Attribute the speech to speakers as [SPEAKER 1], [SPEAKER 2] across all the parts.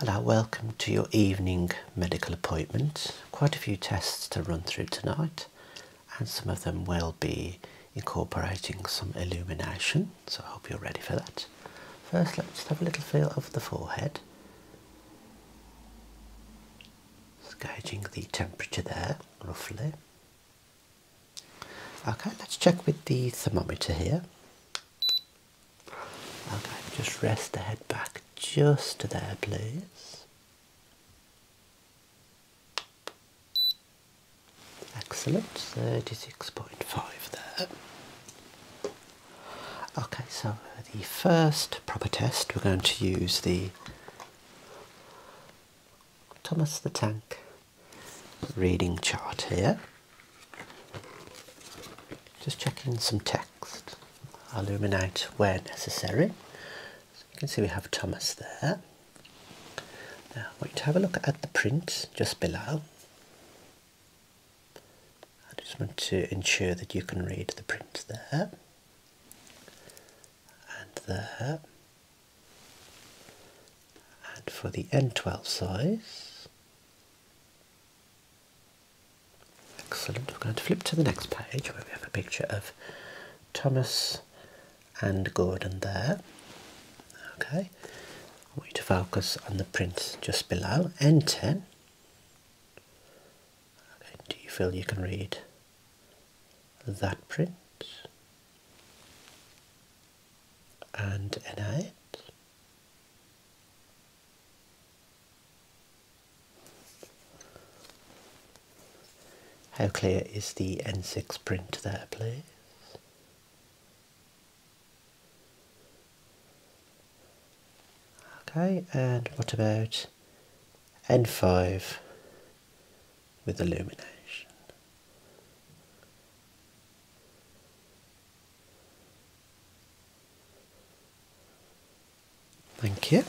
[SPEAKER 1] Hello, welcome to your evening medical appointment. Quite a few tests to run through tonight, and some of them will be incorporating some illumination, so I hope you're ready for that. First, let's have a little feel of the forehead. Just gauging the temperature there, roughly. Okay, let's check with the thermometer here. Okay, just rest the head back just to there, please. Excellent, 36.5 there. Okay, so the first proper test we're going to use the Thomas the Tank reading chart here. Just checking some text. I'll illuminate where necessary. So you can see we have Thomas there. Now I want you to have a look at the print just below. I just want to ensure that you can read the print there and there. And for the N12 size, Excellent. We're going to flip to the next page where we have a picture of Thomas and Gordon there. Okay. I want you to focus on the print just below, N10. Okay. Do you feel you can read that print? And N8. How clear is the N6 print there, please? Okay, and what about N5 with illumination? Thank you.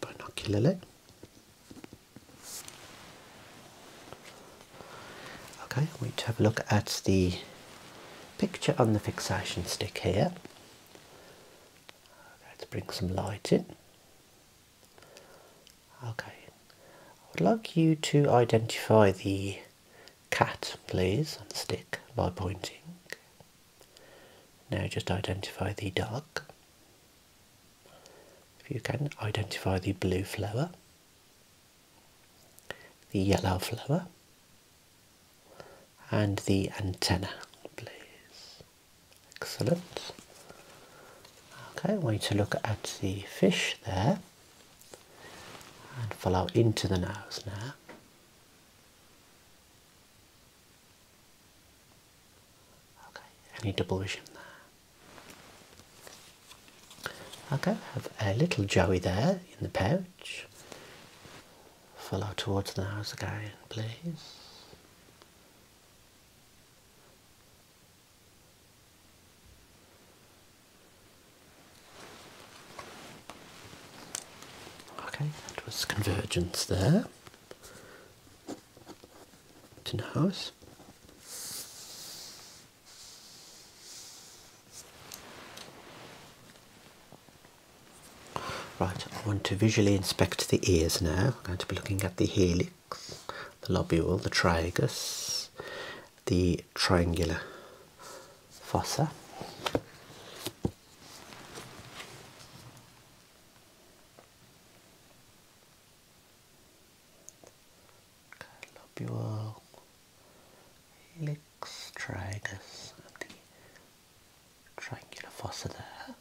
[SPEAKER 1] binocularly. Okay, we need to have a look at the picture on the fixation stick here. Let's bring some light in. Okay, I would like you to identify the cat, please, and stick by pointing. Now just identify the dog. If you can, identify the blue flower, the yellow flower, and the antenna, please. Excellent. Okay, I want you to look at the fish there and follow into the nose now. Okay, any double vision there? Okay, have a little joey there in the pouch follow towards the house again, please. Okay, that was convergence there to the house. Right, I want to visually inspect the ears now. I'm going to be looking at the helix, the lobule, the trigus, the triangular fossa. lobule, helix, tragus, triangular fossa there.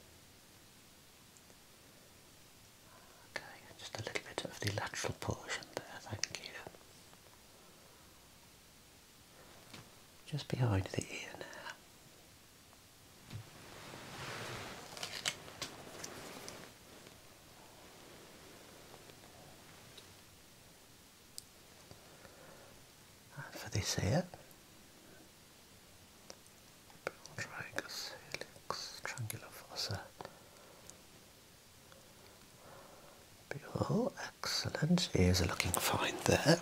[SPEAKER 1] Okay, just a little bit of the lateral portion there, thank you. Just behind the ear now for this here, Bronchorhynchus helix excellent. Ears are looking fine there.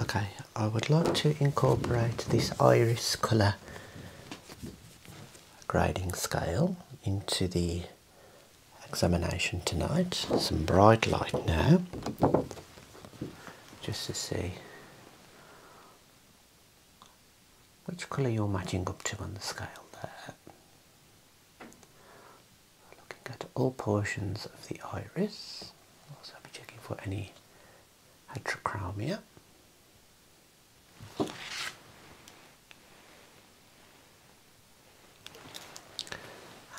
[SPEAKER 1] Okay, I would like to incorporate this iris colour grading scale into the examination tonight. Some bright light now, just to see which colour you're matching up to on the scale there. Looking at all portions of the iris. I'll also be checking for any heterochromia.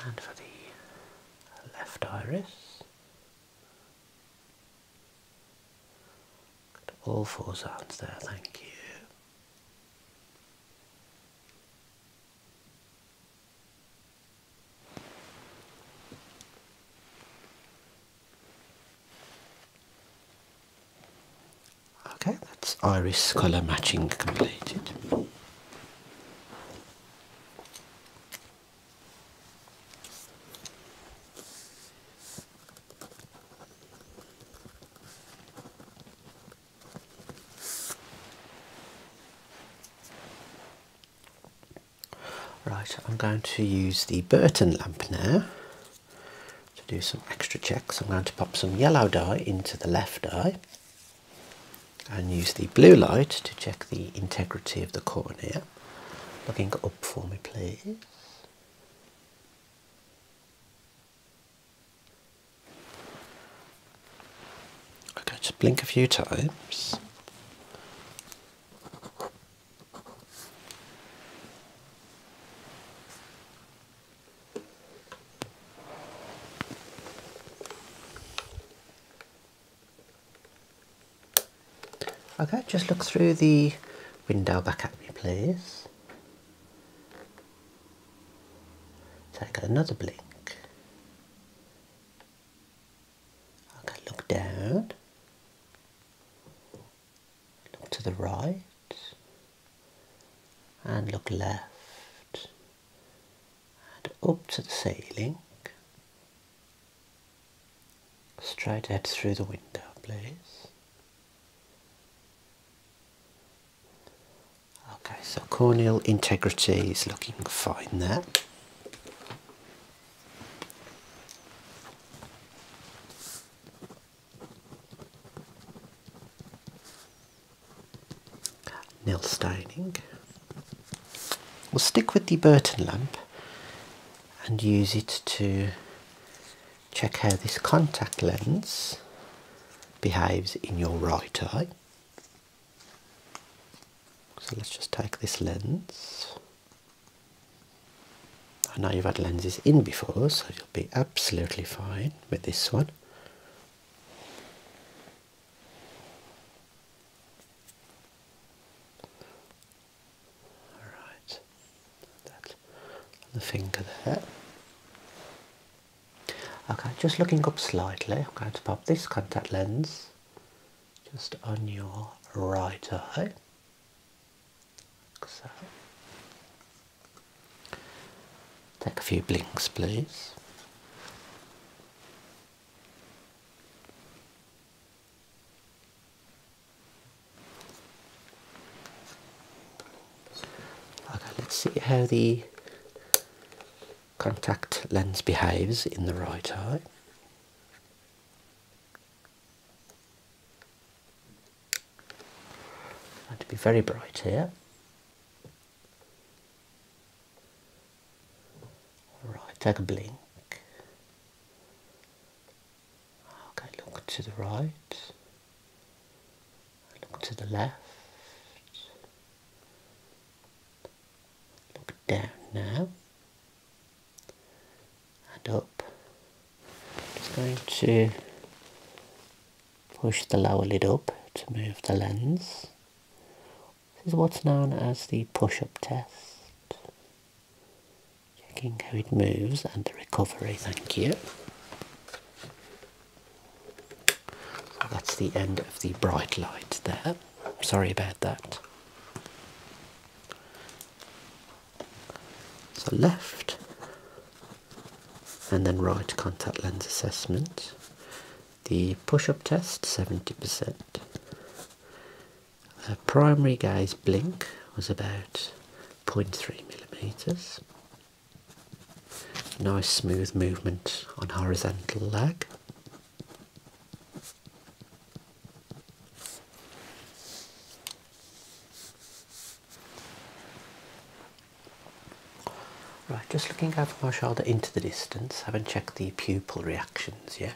[SPEAKER 1] And for the left iris, all four zones there, thank you. Okay, that's iris colour matching completed. Right, I'm going to use the Burton lamp now to do some extra checks. I'm going to pop some yellow dye into the left eye and use the blue light to check the integrity of the cornea. Looking up for me, please. Okay, just blink a few times. Okay, just look through the window back at me, please. Take another blink look down. Look to the right. And look left. And up to the ceiling. Straight ahead through the window, please. Okay, so corneal integrity is looking fine there. Nil staining. We'll stick with the Burton lamp and use it to check how this contact lens behaves in your right eye. So let's just take this lens. I know you've had lenses in before, so you'll be absolutely fine with this one. Alright, that the finger there. Okay, just looking up slightly, I'm going to pop this contact lens just on your right eye, like so. Take a few blinks, please. Okay, let's see how the contact lens behaves in the right eye. Have to be very bright here. All right, take a blink. Okay, look to the right. Look to the left. Look down now and up. Just going to push the lower lid up to move the lens. This is what's known as the push-up test. Checking how it moves and the recovery, thank you. that's the end of the bright light there. Sorry about that. So left and then right contact lens assessment. The push-up test, 70%. primary gaze blink was about 0.3 millimeters. Nice smooth movement on horizontal lag. Right, just looking over my shoulder into the distance, haven't checked the pupil reactions yet.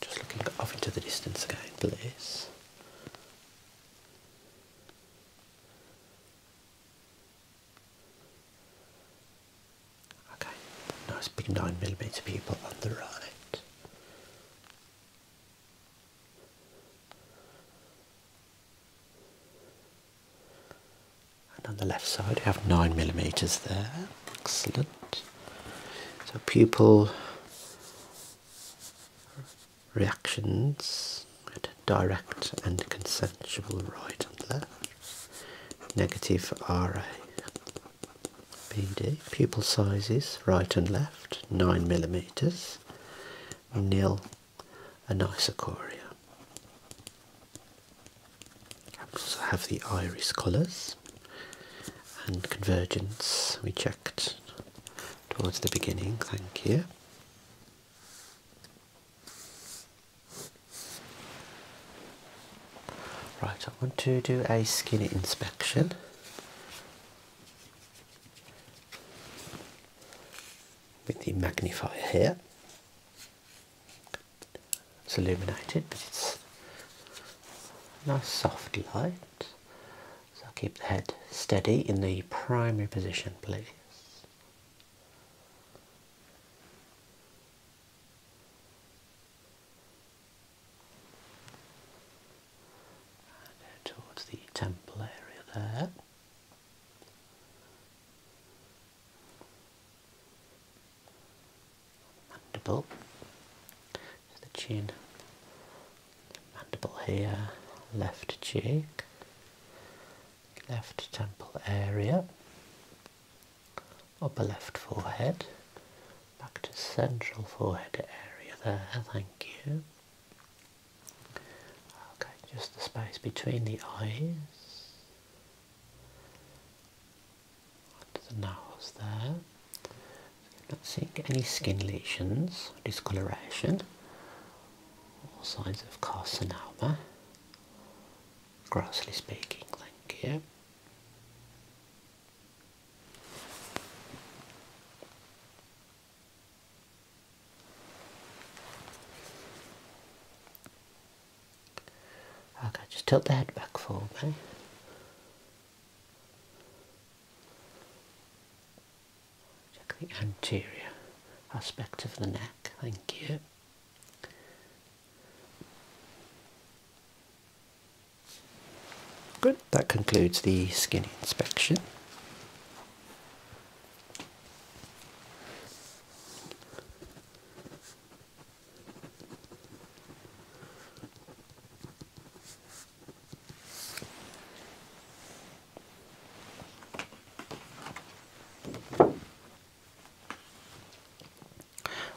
[SPEAKER 1] Just looking off into the distance again, please. Okay, nice big 9mm people on the right. And on the left side, we have 9 millimeters there. Excellent. So, pupil reactions direct and consensual right and left. Negative RA. BD. Pupil sizes right and left, 9mm. Nil an isochoria. We also have the iris colours and convergence we checked towards the beginning, thank you. Right, I want to do a skin inspection. With the magnifier here, it's illuminated, but it's nice soft light. So I'll keep the head steady in the primary position, please. And uh, towards the temple area there. Mandible. So the chin, mandible here, left cheek, left temple area, upper left forehead, back to central forehead area there, thank you. Okay, just the space between the eyes. the nose there. You're not seeing any skin lesions, discoloration, or signs of carcinoma. Grossly speaking, thank you. Okay, just tilt the head back forward, okay? Check the anterior aspect of the neck, thank you. Good, that concludes the skin inspection.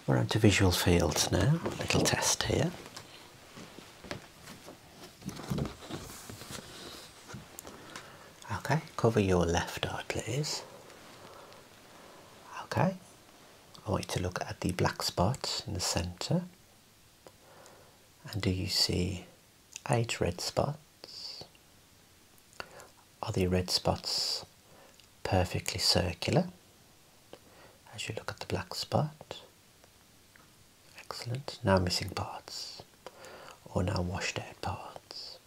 [SPEAKER 1] We're onto visual fields now, little test here. Okay, cover your left eye, please. Okay, I want you to look at the black spot in the centre. And do you see eight red spots? Are the red spots perfectly circular as you look at the black spot? Excellent. No missing parts or now washed out parts.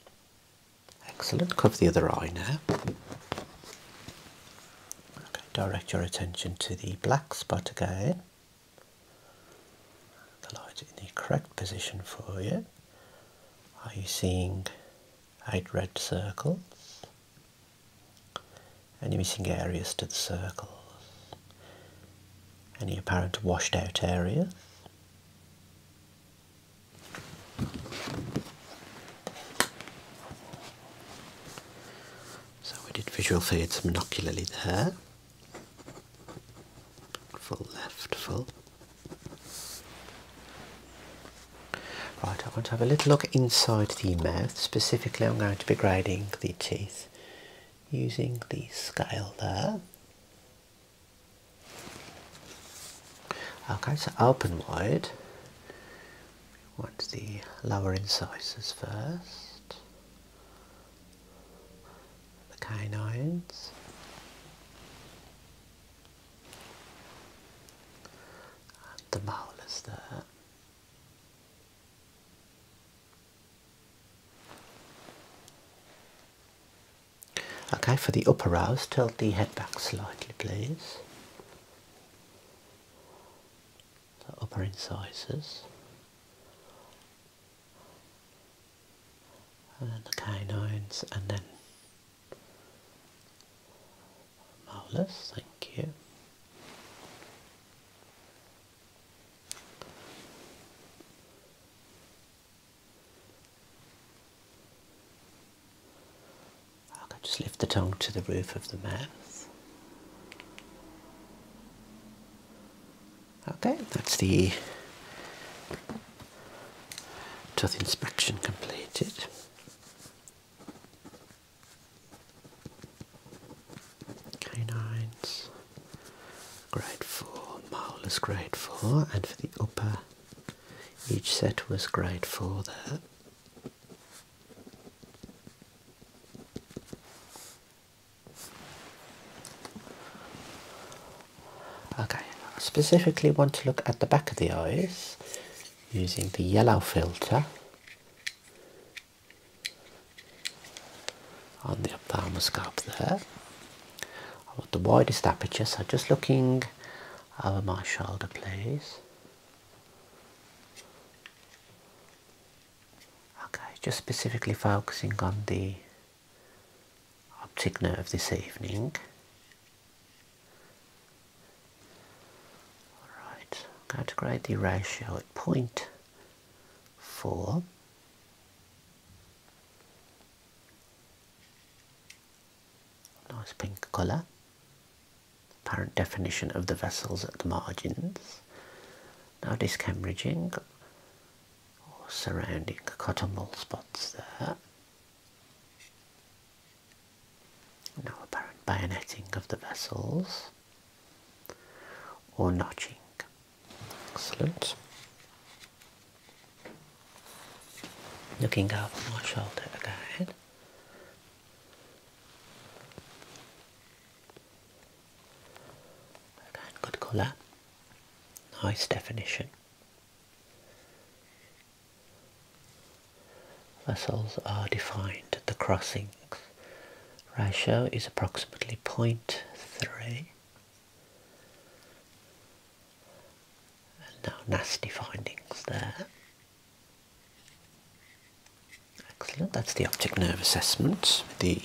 [SPEAKER 1] Excellent. Cover the other eye now. Okay, direct your attention to the black spot again. The light in the correct position for you. Are you seeing eight red circles? Any missing areas to the circles? Any apparent washed out areas? So we did visual fields monocularly there. Full left, full. Right, I want to have a little look inside the mouth. Specifically, I'm going to be grading the teeth using the scale there. Okay, so open wide. We want the lower incisors first, the canines, The the is there. Okay, for the upper rows, tilt the head back slightly, please. The upper incisors. And then the canines, and then molars, thank you. I can just lift the tongue to the roof of the mouth. Okay, that's the tooth inspection completed. Canines, grade 4, molars grade 4, and for the upper each set was great for that. Okay, I specifically want to look at the back of the eyes using the yellow filter on the ophthalmoscope there. I want the widest aperture, so just looking over my shoulder, please. Okay, just specifically focusing on the optic nerve this evening. Alright, I'm going to grade the ratio at point four. Nice pink colour. Apparent definition of the vessels at the margins. Now disc discambridging or surrounding cotton wool spots there. Now apparent bayoneting of the vessels or notching. Excellent. Looking over my shoulder Again, good colour. Nice definition. Vessels are defined at the crossings. Ratio is approximately 0.3. And nasty findings there. Excellent, that's the optic nerve assessment, the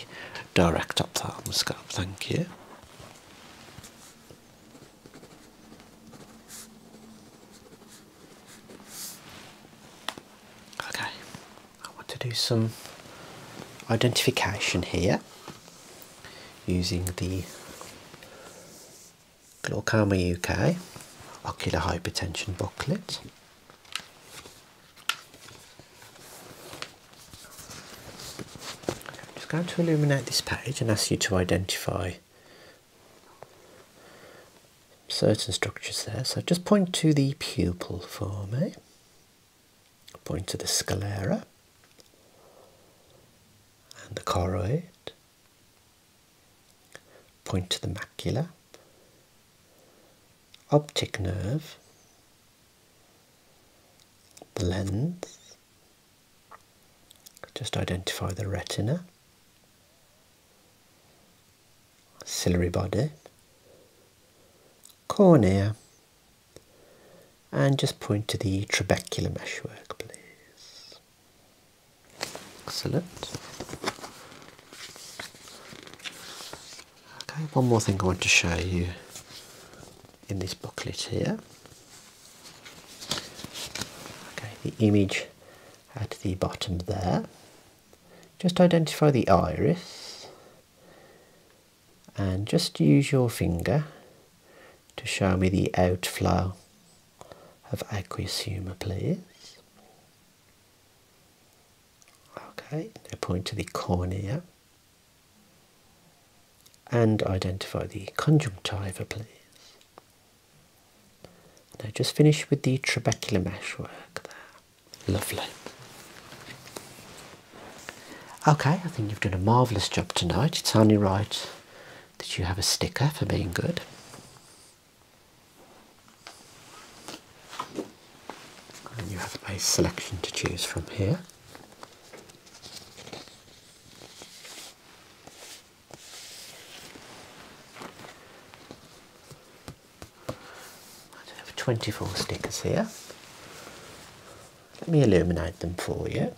[SPEAKER 1] direct ophthalmoscope, thank you. Okay, I want to do some identification here using the Glaucoma UK ocular hypertension booklet. I'm just going to illuminate this page and ask you to identify certain structures there. So just point to the pupil for me, point to the sclera and the choroid, point to the macula, optic nerve, the lens, just identify the retina, ciliary body, cornea, and just point to the trabecular meshwork, please. Excellent. Okay, one more thing I want to show you in this booklet here. Okay, the image at the bottom there. Just identify the iris and just use your finger to show me the outflow of aqueous humour please. Okay, now point to the cornea and identify the conjunctiva please. Now just finish with the trabecular meshwork there. Lovely. Okay, I think you've done a marvellous job tonight. It's only right did you have a sticker for being good? And you have a selection to choose from here. I have 24 stickers here. Let me illuminate them for you.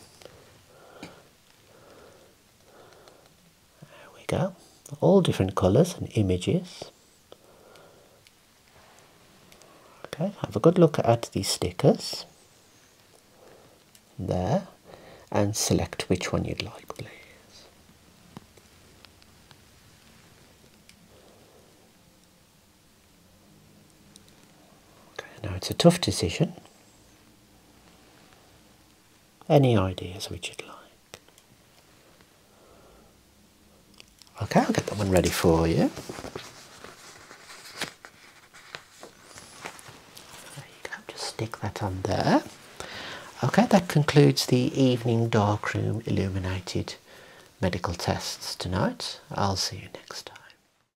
[SPEAKER 1] There we go. All different colours and images. Okay, have a good look at these stickers there and select which one you'd like please. Okay, now it's a tough decision. Any ideas which you'd like? Okay, I'll get that one ready for you. There you go, just stick that on there. Okay, that concludes the evening dark room illuminated medical tests tonight. I'll see you next time.